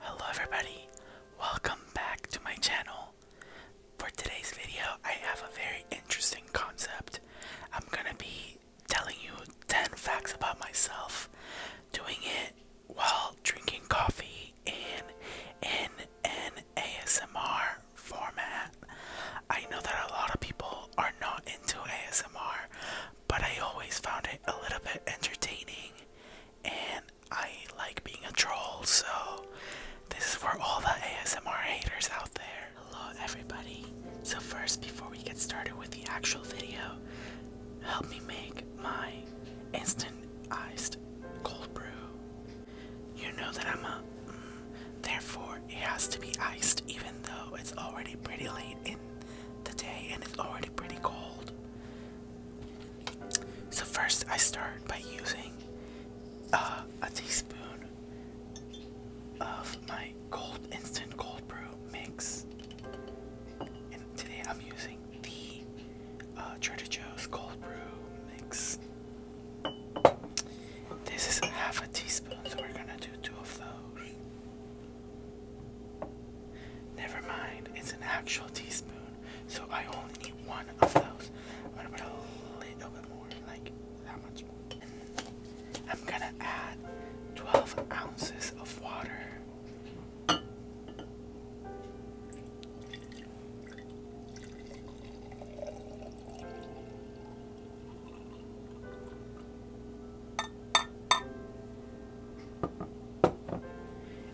Hello everybody, welcome back to my channel. For today's video, I have a very interesting concept. I'm gonna be telling you 10 facts about myself, doing it while drinking coffee in, in an ASMR format. I know that a lot of people are not into ASMR, but I always found it a little bit entertaining and I like being a troll, so this is for all the ASMR haters out there. Hello, everybody. So, first, before we get started with the actual video, help me make my instant iced cold brew. You know that I'm a mm, therefore, it has to be iced, even though it's already pretty late in the day and it's already pretty cold. So first I start by using uh, a teaspoon of my cold instant cold brew mix. And today I'm using the uh, Trader Joe's cold brew mix. This is half a teaspoon, so we're gonna do two of those. Never mind, it's an actual teaspoon, so I only need one of those. I'm gonna put a little bit more, like that much more. I'm gonna add 12 ounces of water.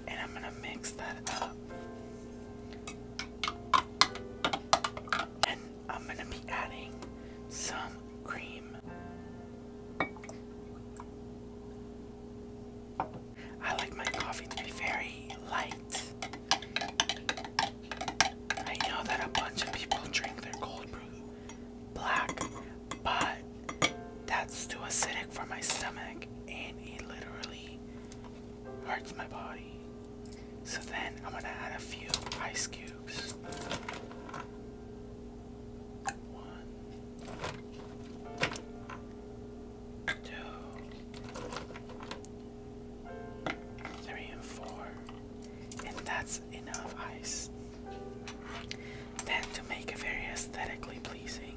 And I'm going to mix that up. And I'm going to be adding some cream. I like my coffee to be very light. I know that a bunch of people drink their cold brew black, but that's too acidic for my stomach and it literally hurts my body. So then I'm gonna add a few ice cubes. One, two, three, and four. And that's enough ice. Then to make it very aesthetically pleasing,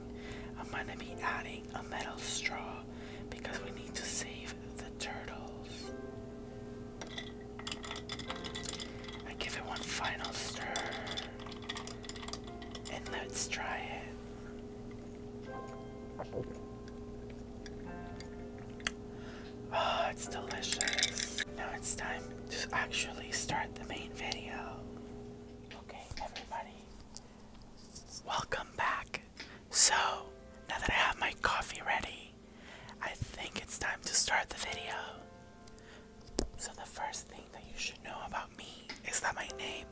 um, I'm going to be adding a metal straw because we need to save the turtles. I give it one final stir and let's try it. Oh, it's delicious. Now it's time to actually start the main video. Okay, everybody, welcome back. So, now that I have my coffee ready, I think it's time to start the video. So, the first thing that you should know about me is that my name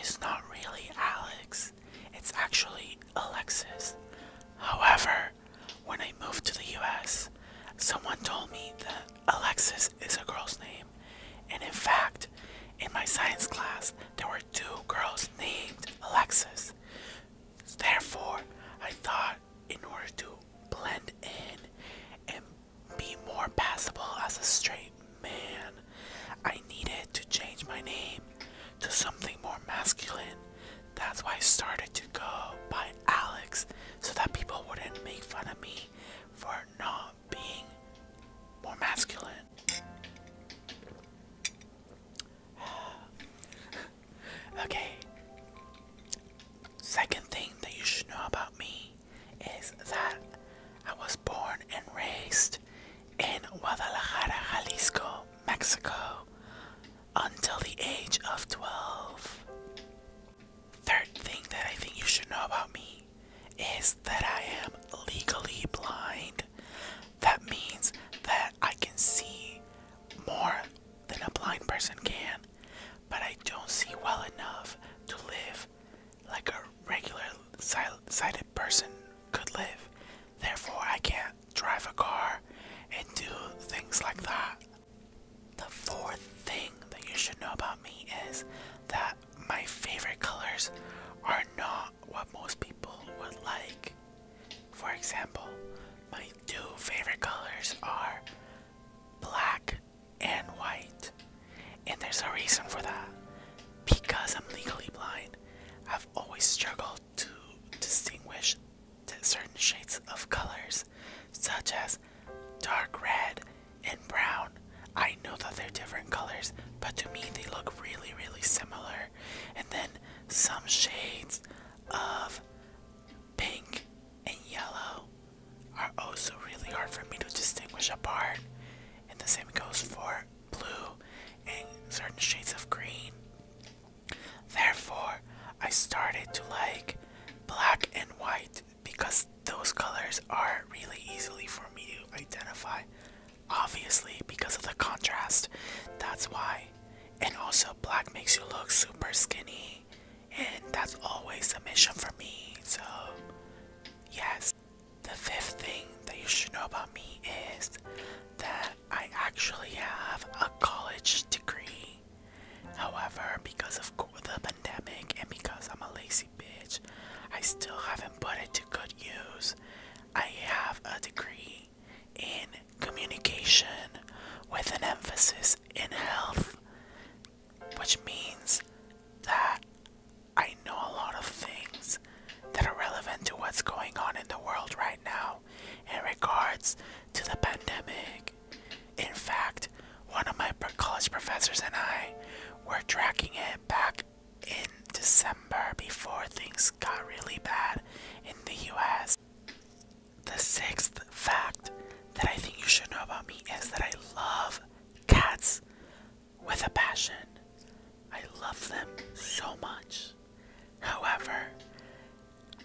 is not really Alex, it's actually Alexis. However, when I moved to the US, someone told me that Alexis is a girl's name, and in fact, in my science class, there were two girls named Alexis. Therefore, I thought in order to blend in and be more passable as a straight man, I needed to change my name to something more masculine that's why I started to go by Alex so that people wouldn't make fun of me for not being more masculine. okay. Second thing that you should know about me is that I was born and raised in Guadalajara, Jalisco, Mexico until the age of 12. Third thing that I think you should know about me is that I am legally blind. That means that I can see more than a blind person can, but I don't see well enough to live like a regular sighted person could live. Therefore, I can't drive a car, and do things like that. The fourth thing that you should know about me is that my favorite colors are not what most people would like. For example, my two favorite colors are black and white. And there's a reason for that. Because I'm legally blind, I've always struggled to distinguish certain shades of colors, such as dark red and brown. I know that they're different colors, but to me they look really, really similar. And then some shades of pink and yellow are also really hard for me to distinguish apart. And the same goes for blue and certain shades of green. Therefore, I started to like black and white because those colors are really easily for me to identify. Obviously, because of the contrast. That's why. And also, black makes you look super skinny, and that's always a mission for me. So, yes. The fifth thing that you should know about me is that I actually have a college degree. However, because of the pandemic and because I'm a lazy bitch, I still haven't put it to good use. I have a degree in communication with an emphasis in health, which means that I know a lot of things that are relevant to what's going on in the world right now in regards to the pandemic. In fact, one of my college professors and I were tracking it back in December before things got really bad in the US. The sixth fact that I think you should know about me is that I love cats with a passion. I love them so much. However,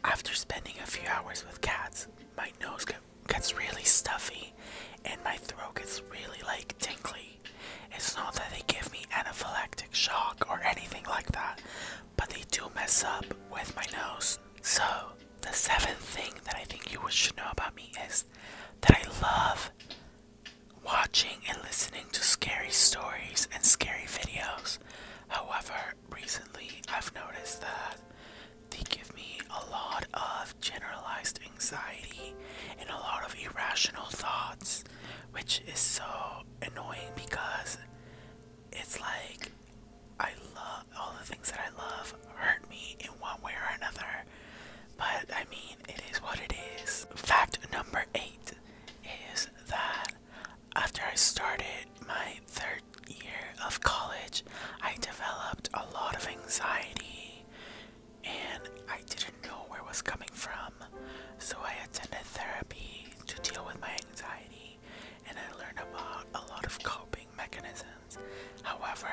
after spending a few hours with cats, my nose gets really stuffy and my throat gets really like tingly. It's not that they give me anaphylactic shock or anything like that, but they do mess up with my nose. So, the seventh thing that I think you should know about me is that I love watching and listening to scary stories and scary videos. However, recently I've noticed that they give me a lot of generalized anxiety and a lot of irrational thoughts, which is so annoying because it's like I love all the things that I love hurt me in one way or another. But I mean, it is what it is. Fact number eight is that after I started my third year of college, I developed a lot of anxiety and I didn't know where it was coming from. So I attended therapy to deal with my anxiety and I learned about a lot of coping mechanisms. However,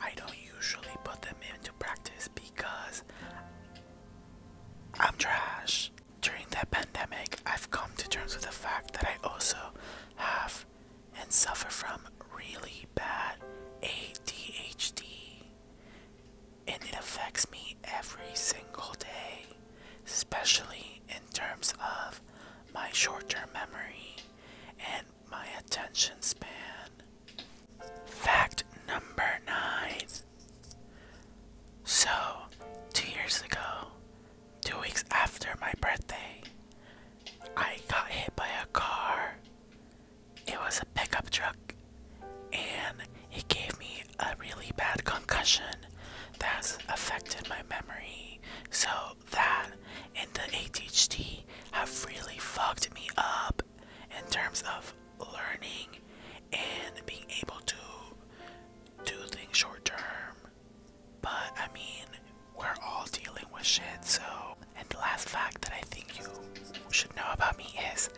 I don't usually put them into practice because I'm trash. During that pandemic, I've come to terms with the fact that I also have and suffer from really bad ADHD, and it affects me every single day, especially in terms of my short term memory and my attention span. Fact number nine. So, two years ago, two weeks after my birthday, I got hit by a car. It was a pickup truck, and it gave me a really bad concussion that's affected my memory. So, that and the ADHD have really fucked me up in terms of learning and being able to do things short term. But I mean, we're all dealing with shit, so. And the last fact that I think you should know about me is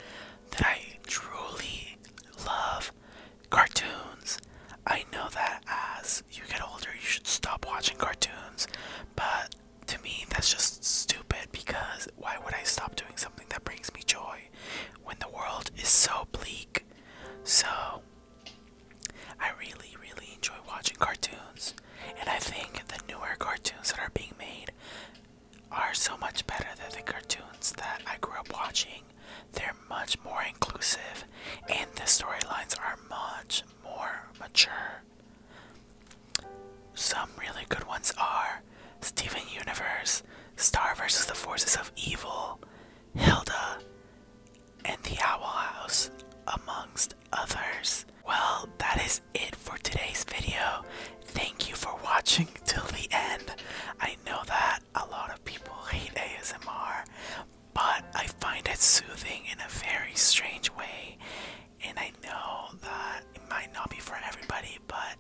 that I truly love cartoons. I know that as you get older, you should stop watching cartoons, but to me that's just stupid because why would I stop doing something that brings me joy when the world is so bleak? So I really really enjoy watching cartoons and I think the newer cartoons that are being made are so much better than the cartoons that I grew up watching. They're much more inclusive and the storylines are much more mature. Some really good ones are Steven Universe, Star vs. the Forces of Evil, Hilda, and The Owl House, amongst others. Well, that is it for today's video. Thank you for watching till the end. I know that a lot of people hate ASMR, but I find it soothing in a very strange way. And I know that it might not be for everybody, but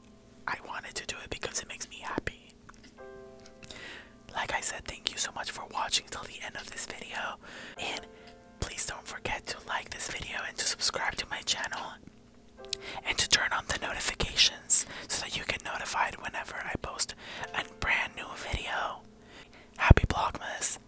I wanted to do it because it makes me happy. Like I said, thank you so much for watching till the end of this video. And please don't forget to like this video and to subscribe to my channel and to turn on the notifications so that you get notified whenever I post a brand new video. Happy Blogmas!